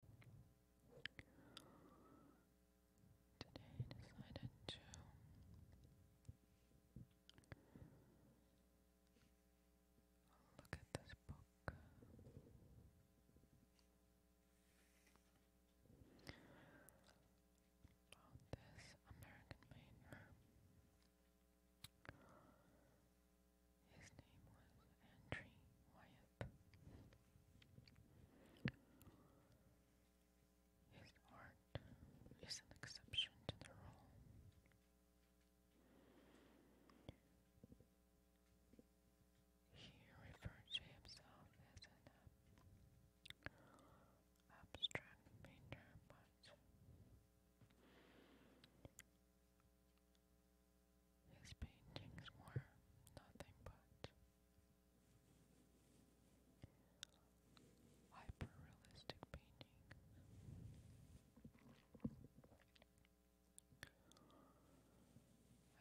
Today I decided to look at this book. About this American Mainer. His name was Andrew Wyatt. His art is an exception to the rule. He referred to himself as an abstract painter, but his paintings were nothing but hyper-realistic I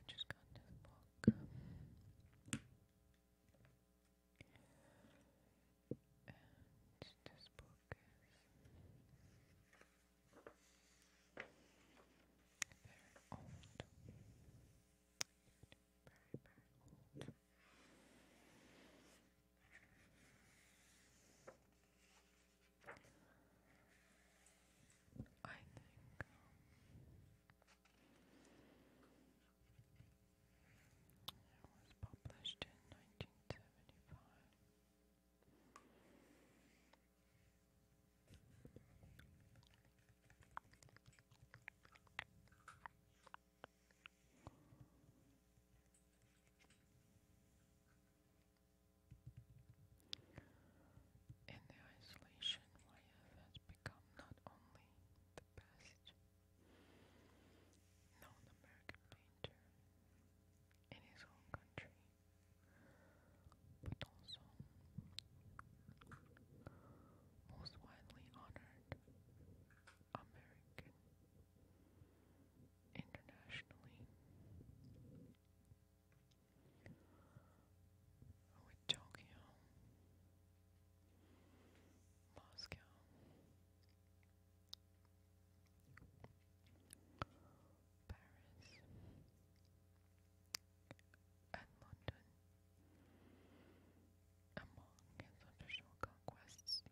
just got this book. And this book is very old. Very, very old. I think it was published in nineteen seventy five. And the isolation YF has become not only the best known American painter in his own country, but also most widely honored American internationally with Tokyo, Moscow, Paris, and London. Among his official conquests,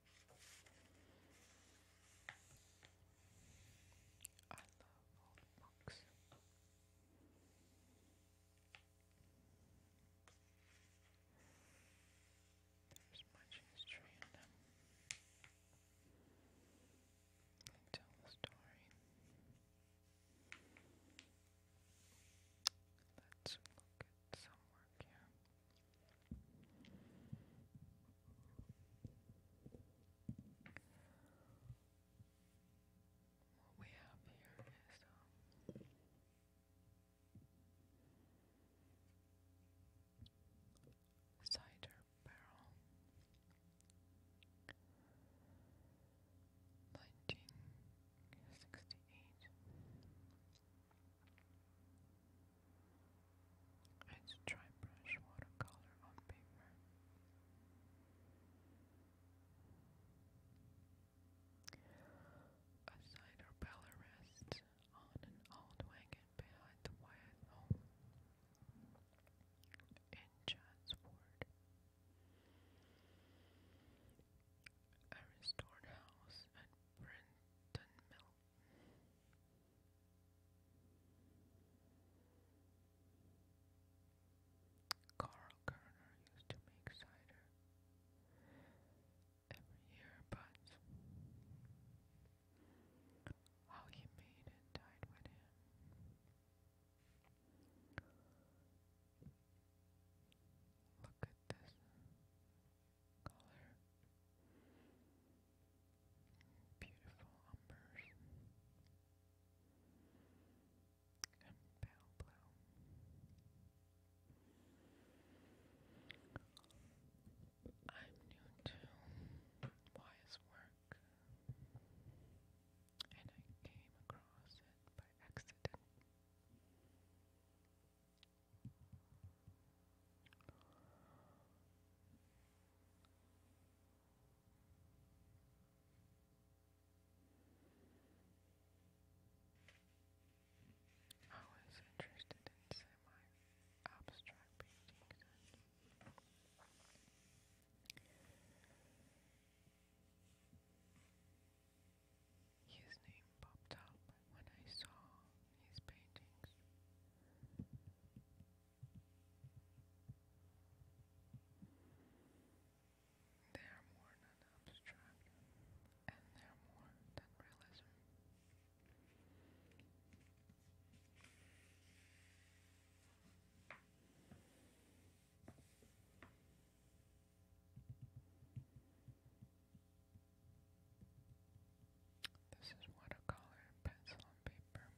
I love old books. There's much in them. They tell the story. Let's look at some work here. What we have here is cider barrel, nineteen sixty eight. Let's try brush watercolor on paper. A cider bell rests on an old wagon behind the Wyatt home in John's A restored house at Brenton Mill Carl Kerner used to make cider every year, but how he made it died with him. Look at this color. Beautiful umbers and pale blue. I'm new to Wise work, and I came across it by accident. I was interested in semi-abstract paintings his name popped up when I saw his paintings. They are more than abstract, and they are more than realism. This is watercolor, pencil, and paper.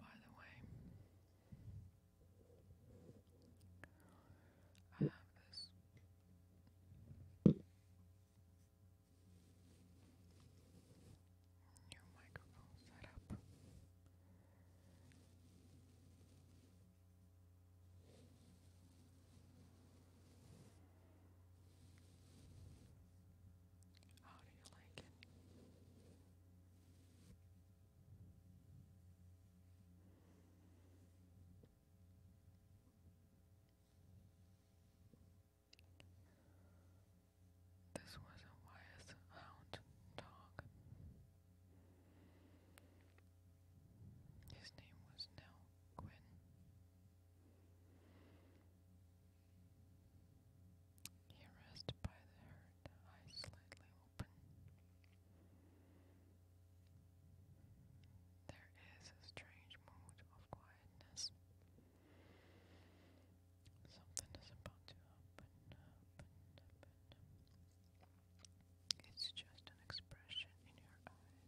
By the way, I have this New microphone setup. How do you like it? This was a wise hound dog. His name was Nell Quinn. He arrested by the herd, eyes slightly open. There is a strange mood of quietness Something is about to open up and It's just an expression in your eyes.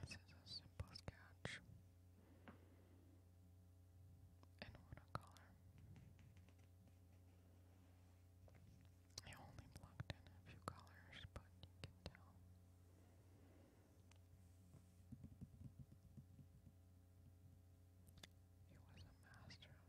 This is a simple sketch in watercolor. I only blocked in a few colors, but you can tell. He was a master of his craft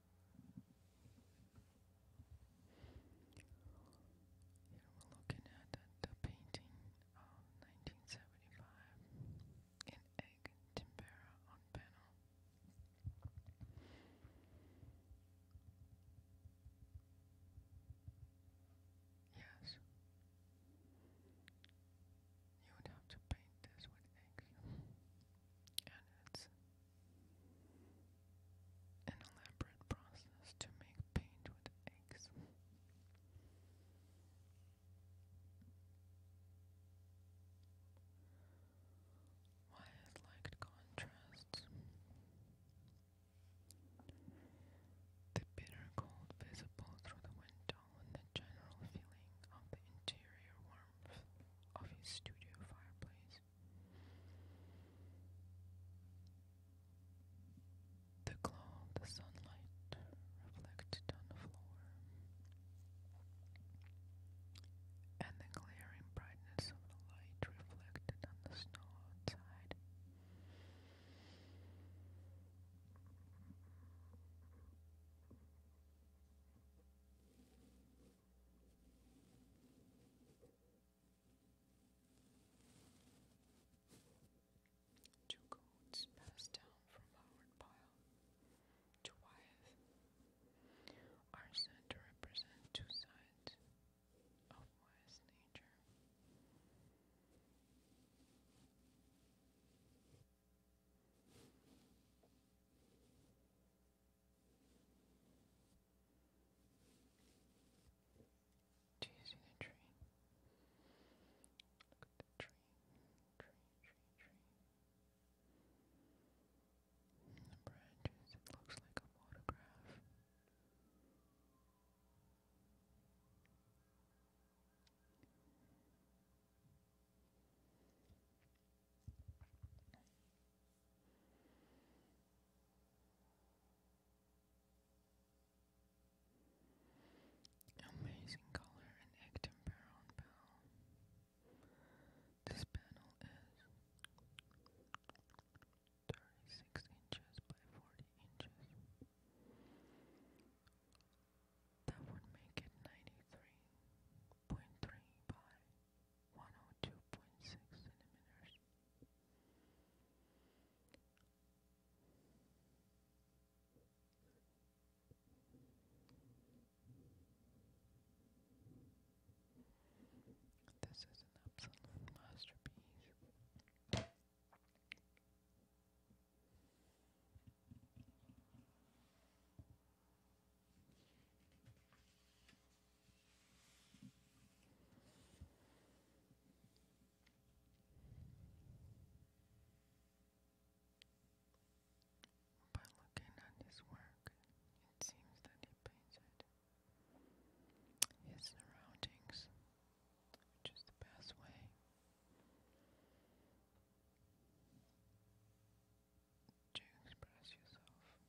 we're looking at the, painting of 1975 in egg tempera on panel. Yes. You would have to paint this with eggs and it's an elaborate process to make paint with eggs. Why I contrasts. The bitter cold visible through the window and the general feeling of interior warmth of his studio fireplace. The glow of the sunlight reflected on the floor, and the glaring brightness of the light reflected on the snow outside. Two codes passed down from Howard Pyle to Wyeth are sent to represent two sides of Wyeth's nature. Chasing a tree. Look at the tree. Tree, tree, tree. the branches, looks like a photograph. Amazing color and active barrel This panel is 36 inches by 40 inches. That would make it 93.3 by 102.6 centimeters. This is an absolute masterpiece. By looking at his work, it seems that he painted his surroundings, which is the best way to express yourself in art.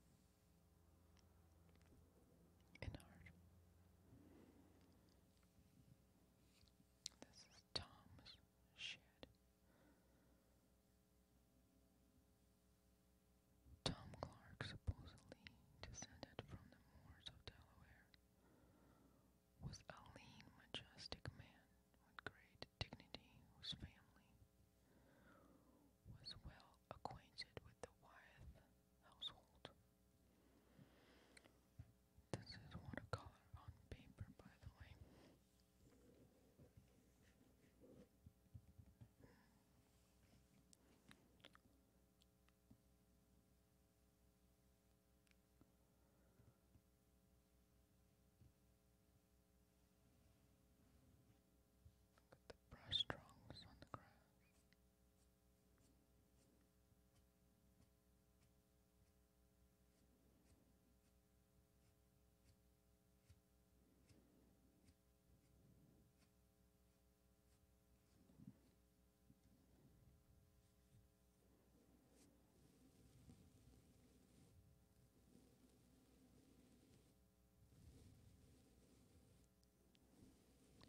This is Tom's shed. Tom Clark supposedly descended from the moors of Delaware, was a lean, majestic man with great dignity whose family was well acquainted with the Wyeth household. This is watercolor on paper, by the way. Look at the brush trunks on the grass.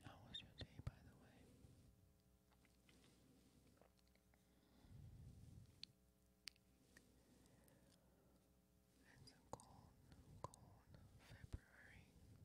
How was your day, by the way? It's a cold, cold February in LA.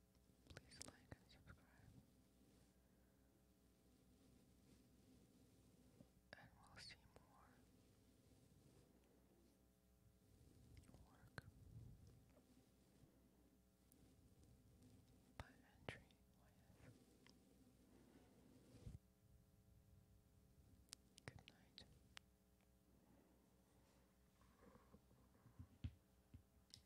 Please like and subscribe. And we'll see more work by entry. Oh, Good night.